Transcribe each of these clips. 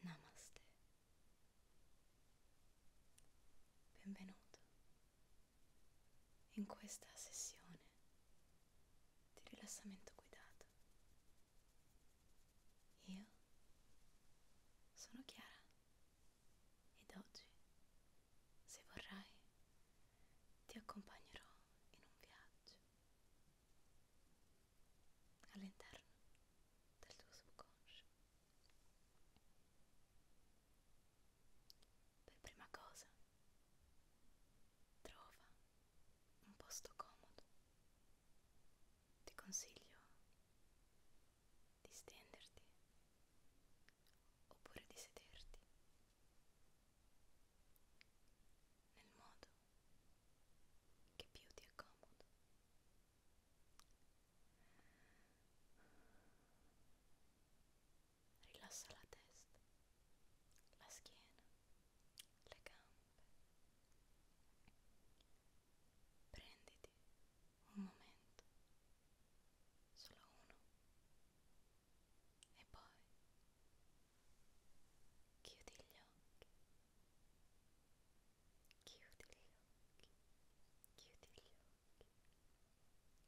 Namaste. Benvenuto. In questa sessione di rilassamento guidato. Io sono Chiara. Ed oggi, se vorrai, ti accompagnerò in un viaggio all'interno del tuo subconscio. Per prima cosa, trova un posto comodo. Ti consiglio di stenderti oppure di sederti nel modo che più ti accomodo. Rilassa la testa, la schiena, le gambe. Prenditi un momento, solo uno, e poi chiudi gli occhi, chiudi gli occhi, chiudi gli occhi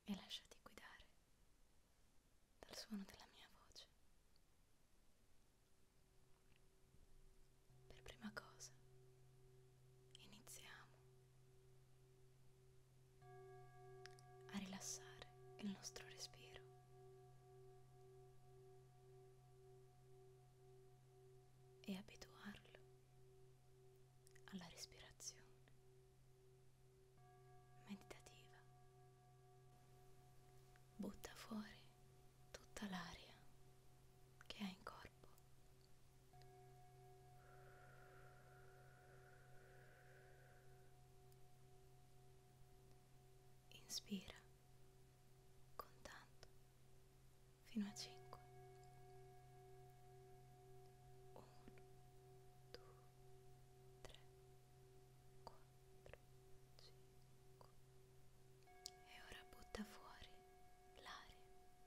e lasciati guidare dal suono della mia voce. Per prima cosa iniziamo a rilassare il nostro respiro. E abituarlo alla respirazione meditativa. Butta fuori tutta l'aria che hai in corpo corpo. Inspira contando fino a 5. 1, 2, 3, 4, 5. E ora butta fuori l'aria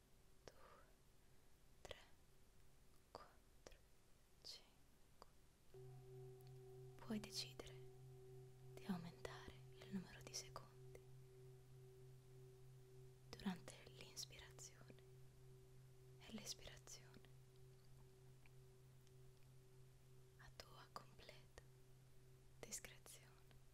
3, 4, 5. Puoi decidere di aumentare il numero di secondi durante l'inspirazione e l'espirazione a tua completa discrezione.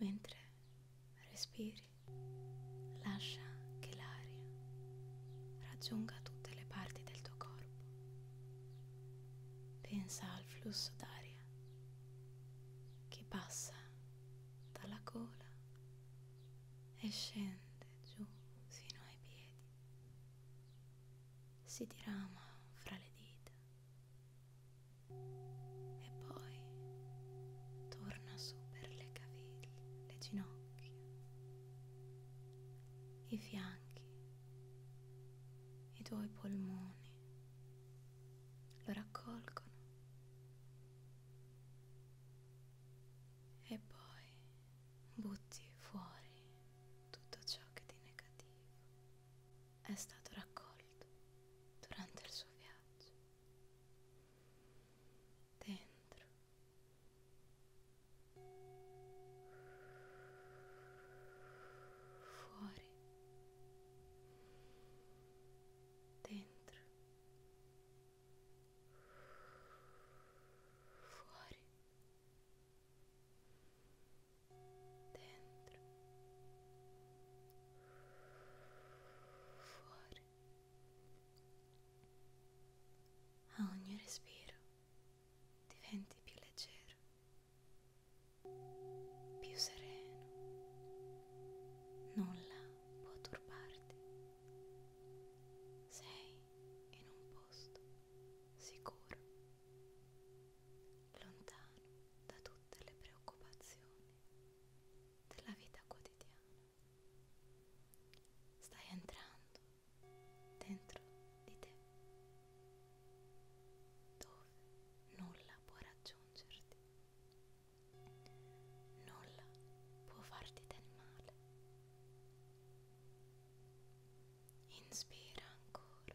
mentre respiri lascia che l'aria raggiunga tutte le parti del tuo corpo. Pensa al flusso d'aria che passa dalla gola e scende giù fino ai piedi, si dirama fra le dita e poi torna su per le caviglie, le ginocchia, i fianchi, i tuoi polmoni, lo raccolgono. E poi butti fuori tutto ciò che di negativo è stato raccolto durante il suo viaggio dentro fuori dentro fuori dentro fuori a ogni respiro diventi più leggero più sereno nulla può turbarti sei in un posto sicuro lontano da tutte le preoccupazioni della vita quotidiana. Stai entrando dentro di te, dove nulla può raggiungerti, nulla può farti del male. Inspira ancora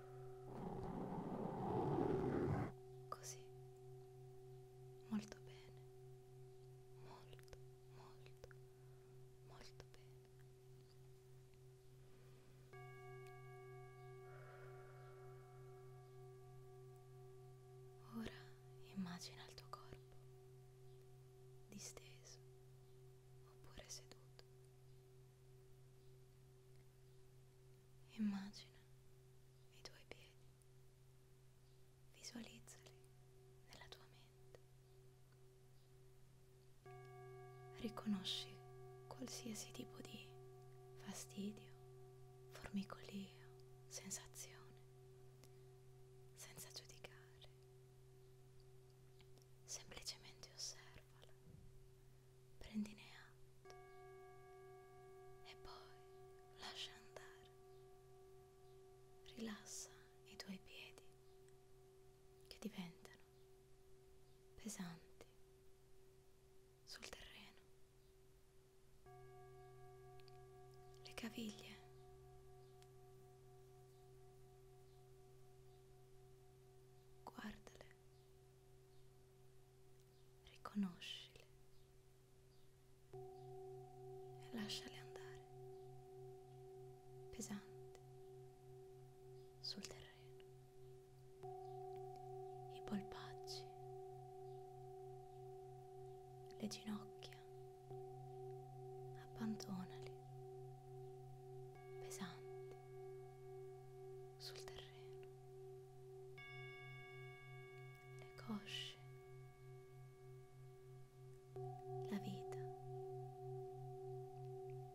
Così. Molto bene. Molto, molto, molto bene. Ora immagina il tuo corpo disteso oppure seduto Immagina i tuoi piedi, visualizzali nella tua mente. Riconosci qualsiasi tipo di fastidio, formicolio, sensazione, senza giudicare semplicemente osservala, prendine atto e poi lascia andare. Rilassa i tuoi piedi che diventano pesanti sul terreno. Le caviglie guardale riconoscile e lasciale andare pesante sul terreno, i polpacci, le ginocchia, abbandonali pesanti sul terreno, le cosce, la vita,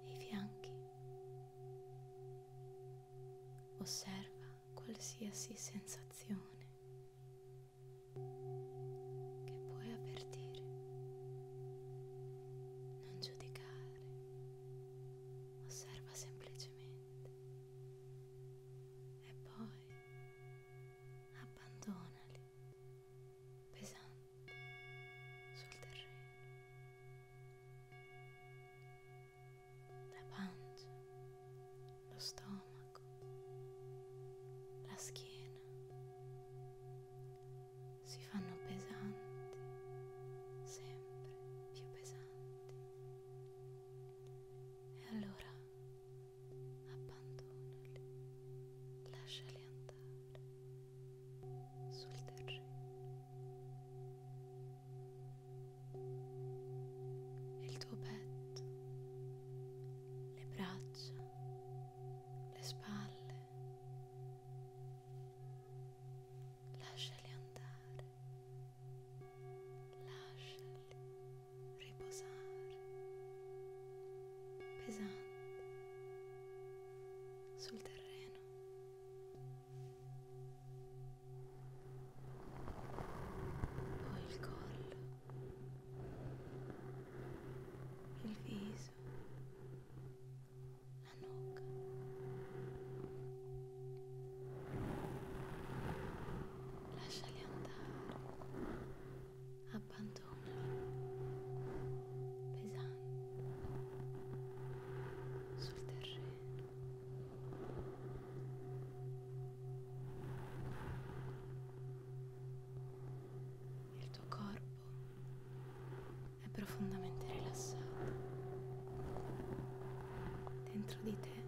i fianchi. Osserva qualsiasi sensazione. che puoi avvertire, non giudicare osserva semplicemente e poi abbandonali pesanti sul terreno. La pancia, lo stomaco, la schiena si fanno pesanti, sempre più pesanti. E allora abbandonali, lasciali andare sul terreno. Il tuo petto, le braccia, le spalle lasciali andare, lasciali riposare, pesanti sul terreno. Poi il collo, il viso viso, la nuca. Lasciali andare, abbandonali, pesanti sul terreno. Il tuo corpo è profondamente rilassata. Dentro di te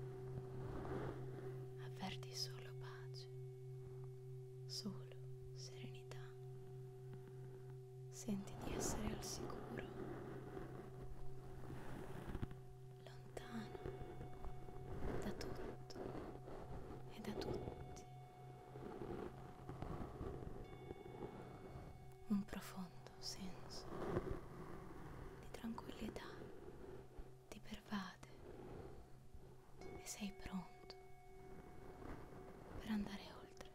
avverti solo pace, solo serenità. Senti di essere al sicuro, lontano da tutto e da tutti un profondo senso di tranquillità ti pervade e sei pronto per andare oltre.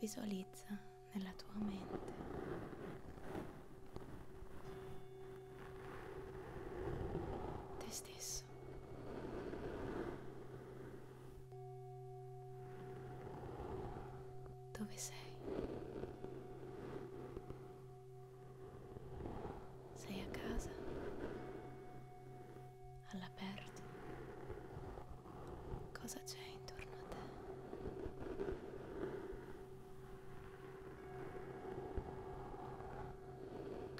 Visualizza nella tua mente te stesso. Dove sei? Sei a casa? All'aperto? Cosa c'è intorno a te?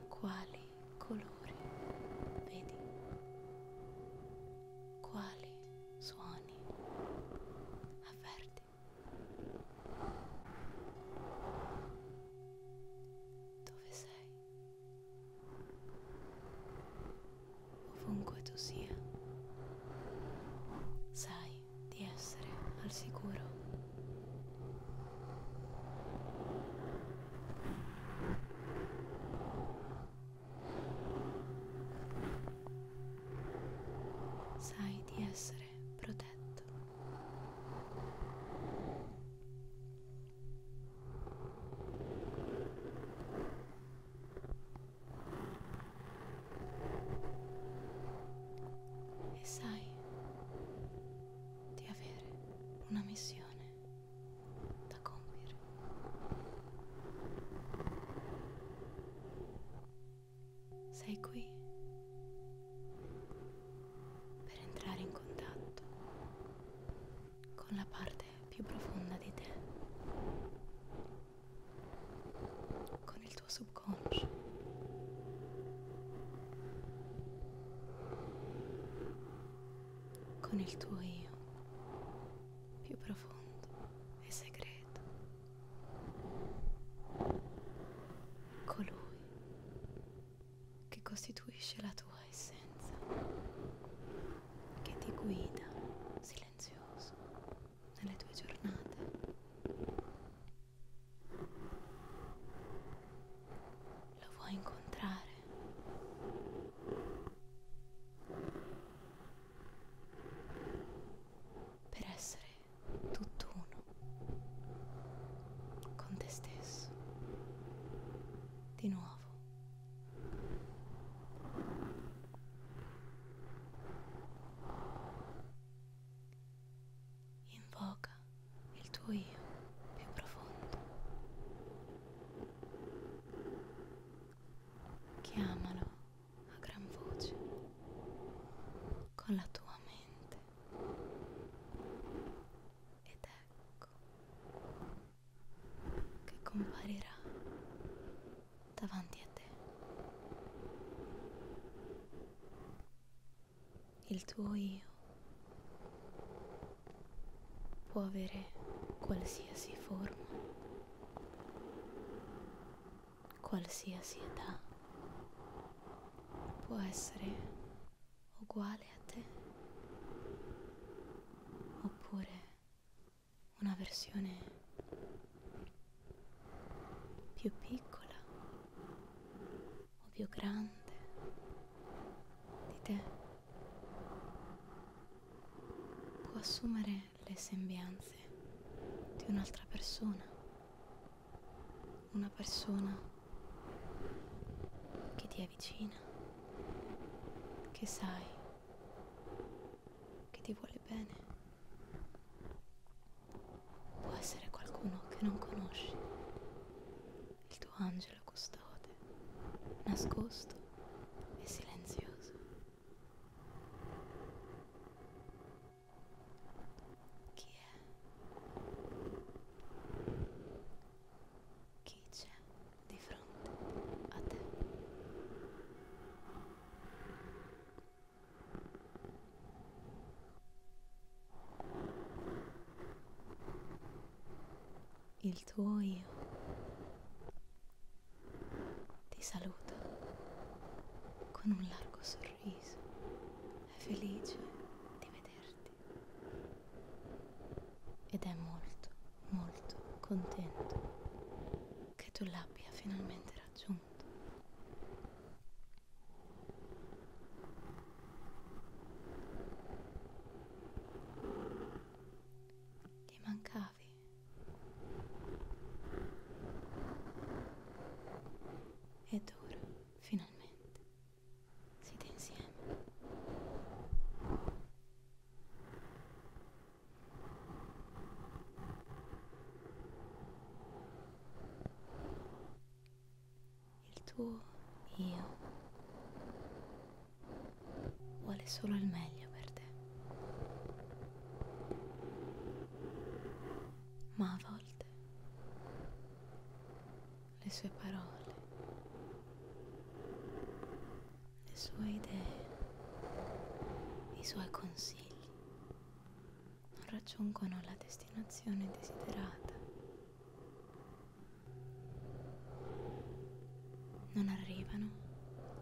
Quali colori, vedi? Quali suoni avverti? Dove sei? Ovunque tu sia, sai di essere al sicuro. Sai di essere protetto. E sai di avere una missione da compiere. Sei qui per entrare in contatto con la parte più profonda di te, con il tuo subconscio con il tuo io più profondo e segreto, colui che costituisce la tua essenza, che ti guida silenzioso nelle tue giornate lo vuoi incontrare? Per essere tutto uno con te stesso. Di nuovo. Invoca il tuo io più profondo chiamalo a gran voce con la tua mente ed ecco che comparirà davanti a te il tuo io può avere qualsiasi forma, qualsiasi età, può essere uguale a te oppure una versione più piccola o più grande di te può assumere le sembianze di un'altra persona, una persona che ti è vicina, che sai che ti vuole bene. Può essere qualcuno che non conosci, il tuo angelo custode, nascosto e silenzioso. Chi è? Chi c'è di fronte a te? Il tuo io ti saluta con un largo sorriso, è felice di vederti ed è molto, molto contento che tu l'abbia finalmente raggiunto. Ti mancavi. Ed ora, finalmente, siete insieme. Il tuo io vuole solo il meglio per te. Ma a volte le sue parole, le sue idee, i suoi consigli non raggiungono la destinazione desiderata non arrivano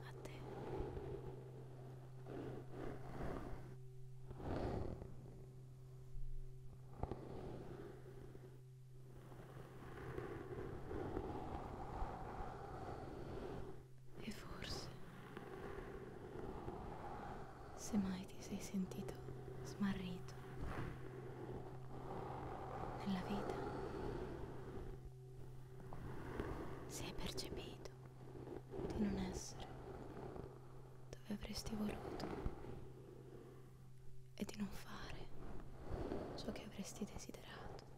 a te. E forse, se mai mai ti sei sentito smarrito nella vita? Se hai percepito di non essere dove avresti voluto e di non fare ciò che avresti desiderato?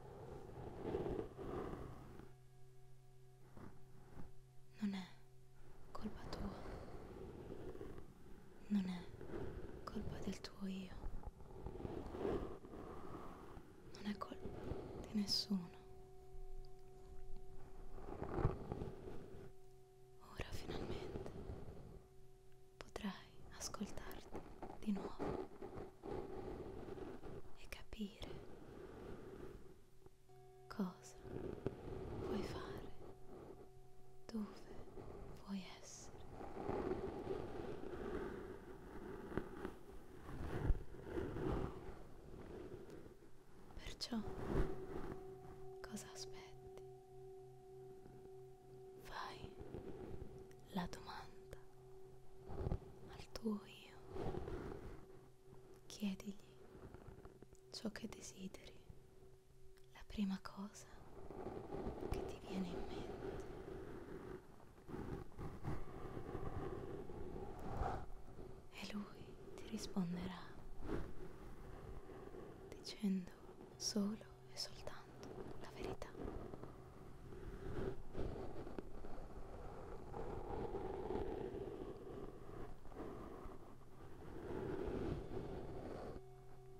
Non è colpa tua non è colpa del tuo io, non è colpa di nessuno. Ora finalmente potrai ascoltarti di nuovo e capire cosa puoi fare dove vuoi essere. Perciò cosa aspetti? Fai la domanda al tuo io. Chiedigli ciò che desideri la prima cosa che ti viene in mente. E lui ti risponderà dicendo solo e soltanto la verità.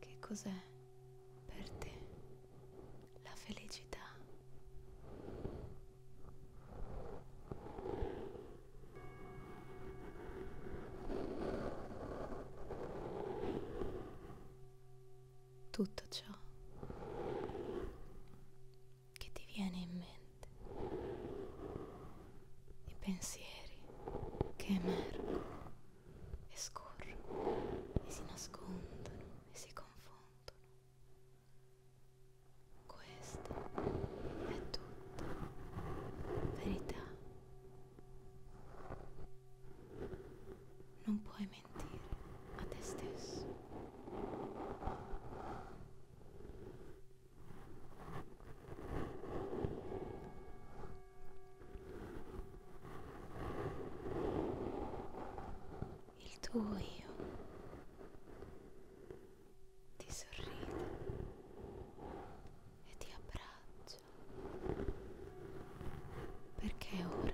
Che cos'è per te la felicità? Tutto ciò che ti viene in mente i pensieri che emergono e scorrono e si nascondono e si confondono. Questa è tutta verità. Non puoi mentire a te stesso. Il tuo io ti sorride e ti abbraccia perché ora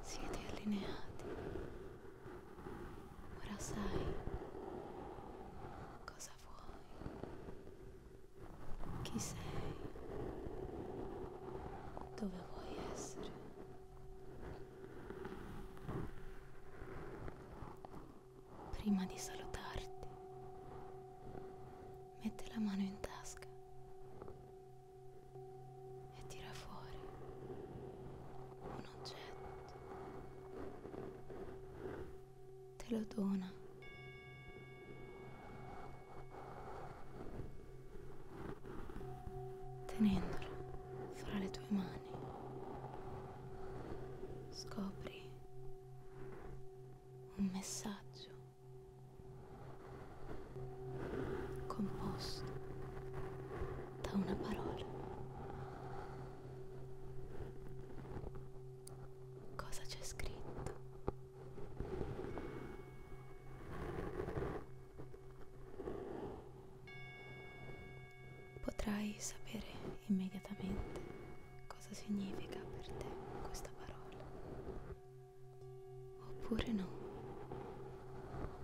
siete allineati. Ora sai cosa vuoi chi sei, dove vuoi essere. Prima di salutarti, mette la mano in tasca e tira fuori un oggetto te lo dona. Tenendolo fra le tue mani, scopri un messaggio composto da una parola cosa c'è scritto potrai sapere immediatamente cosa significa per te questa parola oppure no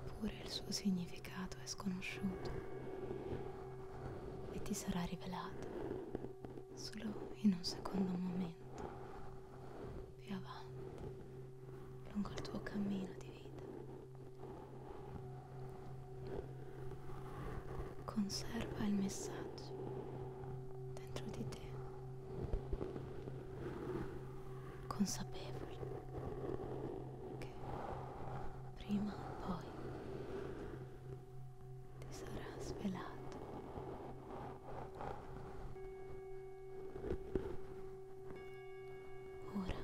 oppure il suo significato è sconosciuto e ti sarà rivelato solo in un secondo momento, più avanti, lungo il tuo cammino di vita. Conserva il messaggio dentro di te, consapevole che prima o poi ti sarà svelato. Ora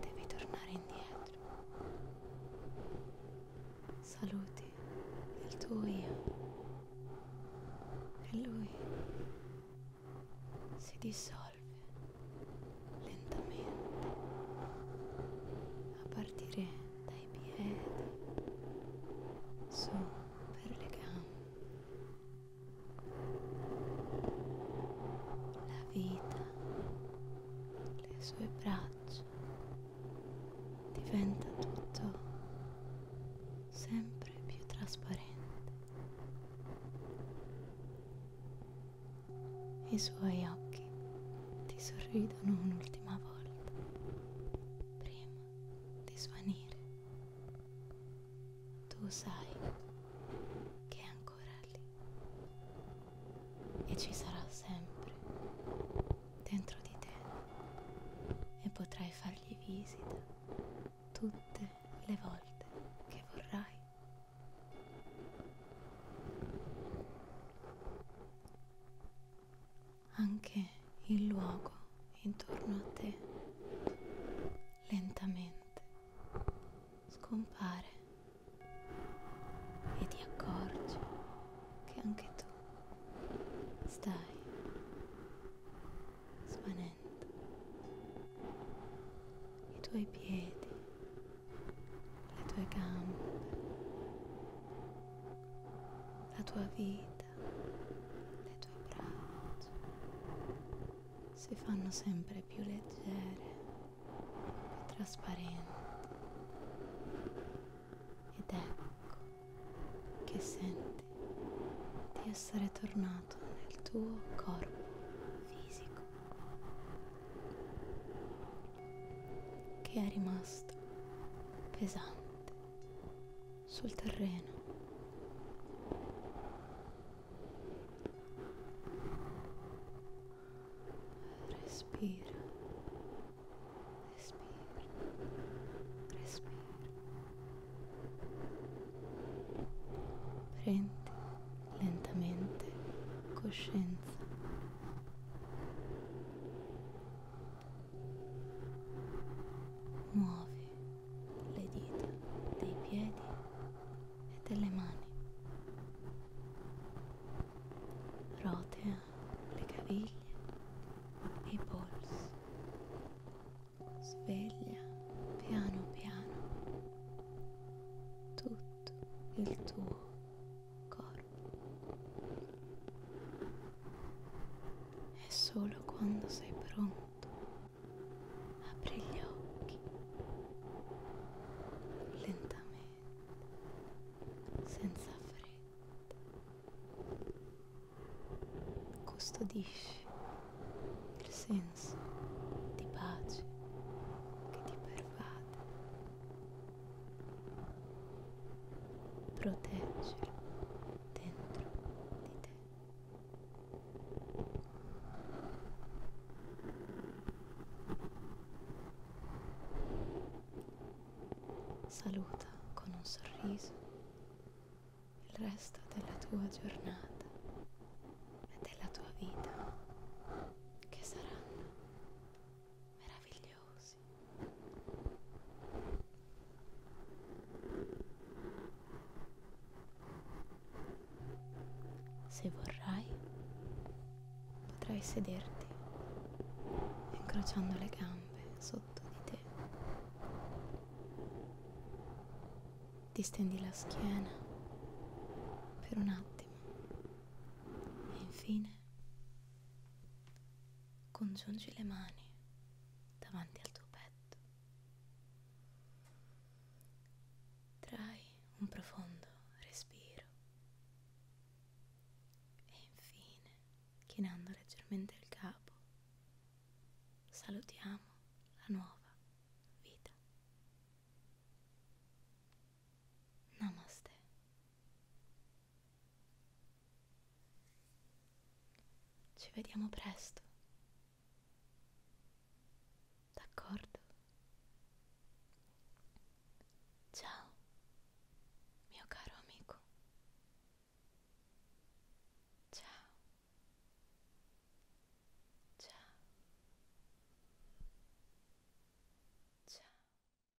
devi tornare indietro. Saluti il tuo io. E lui si dissolve lentamente a partire dai piedi su per le gambe la vita le sue braccia diventa tutto sempre più trasparente i suoi occhi ti sorridono un'ultima volta prima di svanire. Tu sai che è ancora lì e ci sarà sempre dentro di te e potrai fargli visita tutte le volte che vorrai anche il luogo intorno a te lentamente scompare e ti accorgi che anche tu stai svanendo i tuoi piedi le tue gambe la tua vita, le tue braccia si fanno sempre più leggere e trasparenti ed ecco che senti di essere tornato nel tuo corpo fisico che è rimasto pesante sul terreno. Respira, respira, respira. Prendi lentamente coscienza Muovi le dita dei piedi e delle mani. Rotea le caviglie e i polsi. Sveglia piano piano tutto il tuo corpo. E solo quando sei pronto, apri gli occhi lentamente, senza fretta. Custodisci il senso di pace che ti pervade proteggere dentro di te. Saluta con un sorriso il resto della tua giornata e della tua vita che saranno meravigliose così se vorrai potrai sederti incrociando le gambe sotto di te distendi la schiena per un attimo e infine Congiungi le mani davanti al tuo petto. Trai un profondo respiro e infine, chinando leggermente il capo, salutiamo la nuova vita. Namaste. Ci vediamo presto. D'accordo? Ciao, mio caro amico. Ciao. Ciao. Ciao.